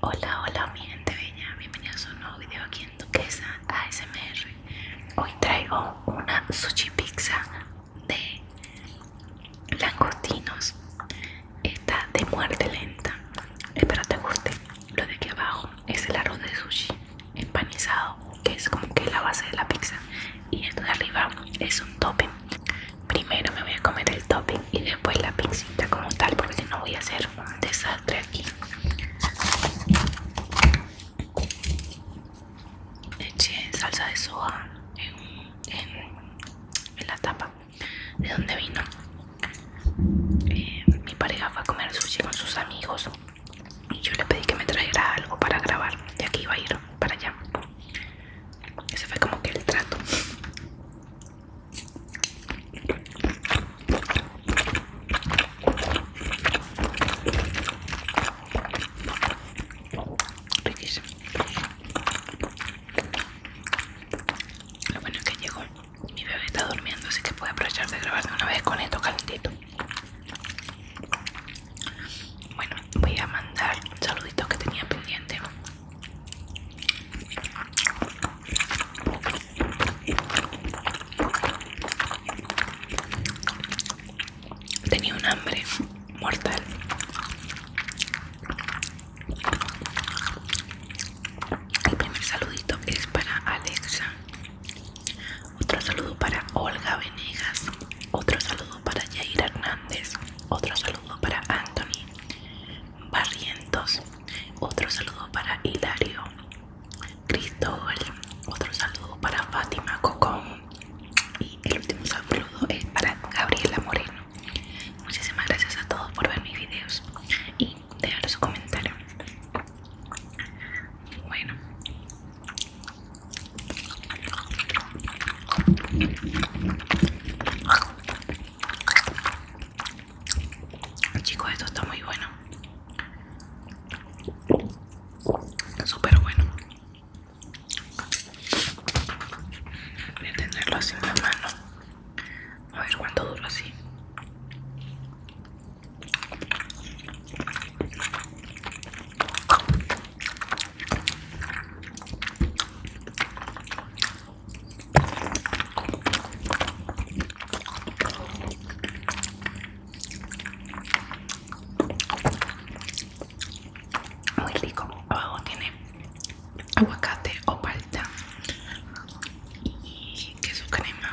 Hola, hola mi gente bella, bienvenidos a un nuevo video aquí en Duquesa ASMR Hoy traigo una sushi pizza de langostinos Está de muerte lenta, espero te guste Lo de aquí abajo es el arroz de sushi empanizado Que es como que la base de la pizza Y esto de arriba es un topping Primero me voy a comer el topping y después la pincita como tal, porque no voy a hacer un desastre aquí. Eché salsa de soja en, la tapa de donde vino. Eh, mi pareja fue a comer sushi con sus amigos y yo le pedí que me trajera algo para grabar, ya aquí iba a ir para allá. Ese fue como que el trato. Riquísimo. Lo bueno es que llegó. Mi bebé está durmiendo, así que puede aprovechar de grabar de una vez con esto calentito. Bueno, voy a mandar un saludito que tenía pendiente Tenía un hambre mortal. El primer saludito es para Alexa. Otro saludo para Olga Venegas. Otro saludo para Jair Hernández. Otro saludo para Anthony. Barrientos, otro saludo para Hilario Cristóbal, otro saludo para Fátima Cocón y el último saludo es para Gabriela Moreno. Muchísimas gracias a todos por ver mis videos y dejar su comentario. Bueno. Chicos, esto está muy bueno. Súper bueno. Voy a tenerlo así en la mano. A ver cuánto duro así. Muy rico. Abajo tiene aguacate o palta y queso crema.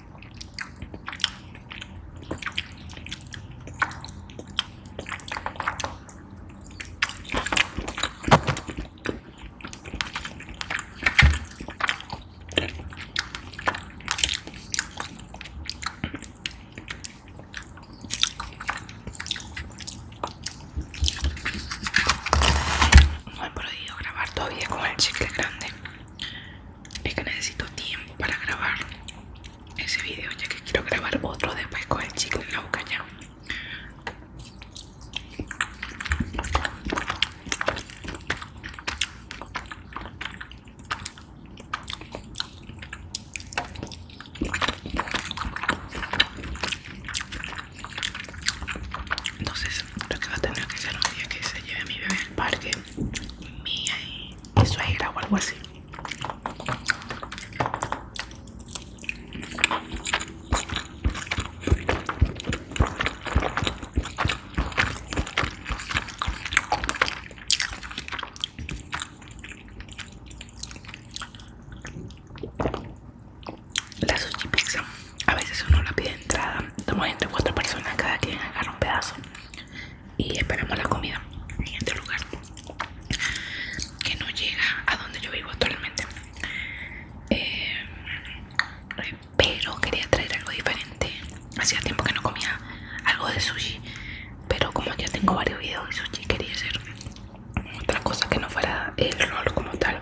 No he podido grabar todavía con el chicle grande es que necesito tiempo para grabar ese video ya que quiero grabar otro después con el chicle en la boca ya entonces lo que va a tener que ser un día que se lleve a mi bebé al parque de eso suegra o algo así. La sushi pizza, a veces uno la pide entrada, Estamos entre cuatro personas, cada quien agarra un pedazo y esperamos la comida en este lugar que no llega a donde yo vivo actualmente eh, pero quería traer algo diferente hacía tiempo que no comía algo de sushi pero como ya tengo varios videos de sushi quería hacer otra cosa que no fuera el rol como tal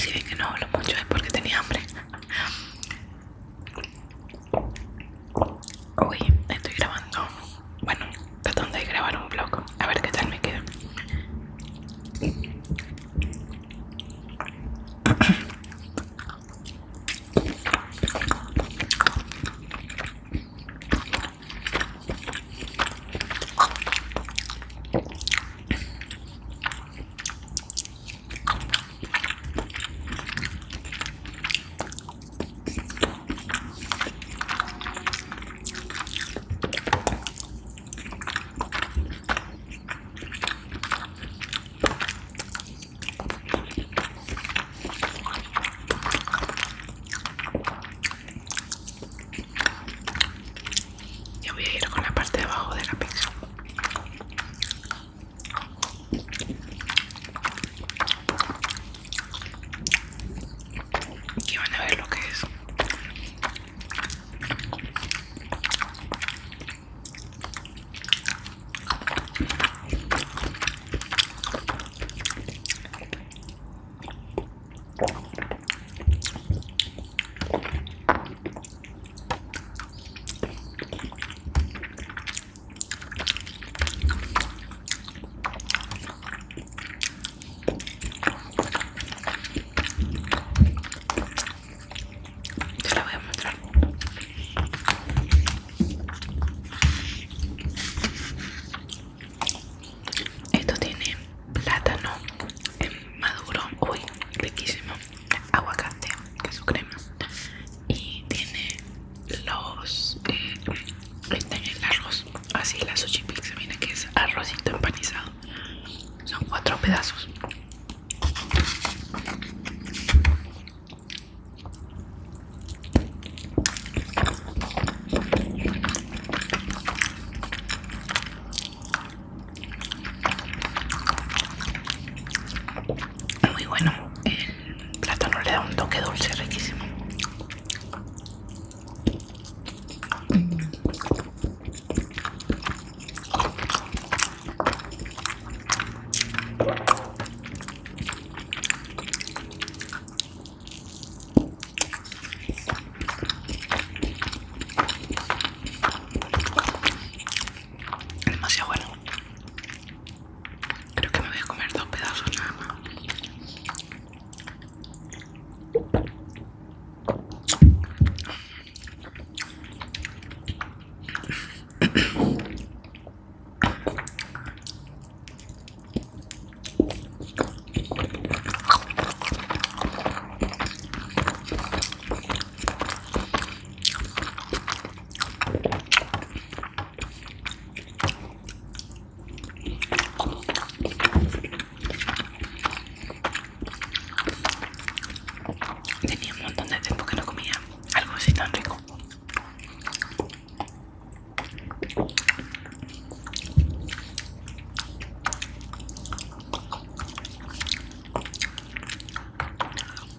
Si que no hablo mucho es porque tenía hambre. Uy, estoy grabando bueno, tratando de grabar un bloco a ver qué tal me queda. Ya voy a ir con la parte de abajo de la pizza y van a ver lo que es. Te la voy a mostrar. Esto tiene plátano maduro, uy, riquísimo, aguacate, su crema, y tiene los en el arroz así la sushi pizza viene que es arrocito empanizado son cuatro pedazos muy bueno el plátano le da un toque dulce riquísimo. Demasiado bueno. Creo que me voy a comer dos pedazos nada más. Tenía un montón de tiempo que no comía algo así tan rico.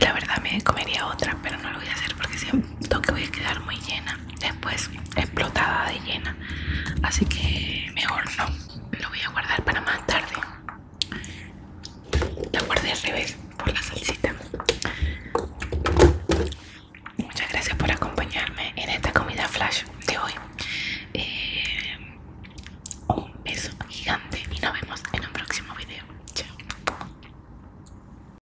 La verdad me comería otra, pero no lo voy a hacer porque siento que voy a quedar muy llena después explotada de llena así que mejor no lo voy a guardar para más tarde la guardé al revés por la salsita muchas gracias por acompañarme en esta comida flash de hoy eh, un beso gigante y nos vemos en un próximo video chao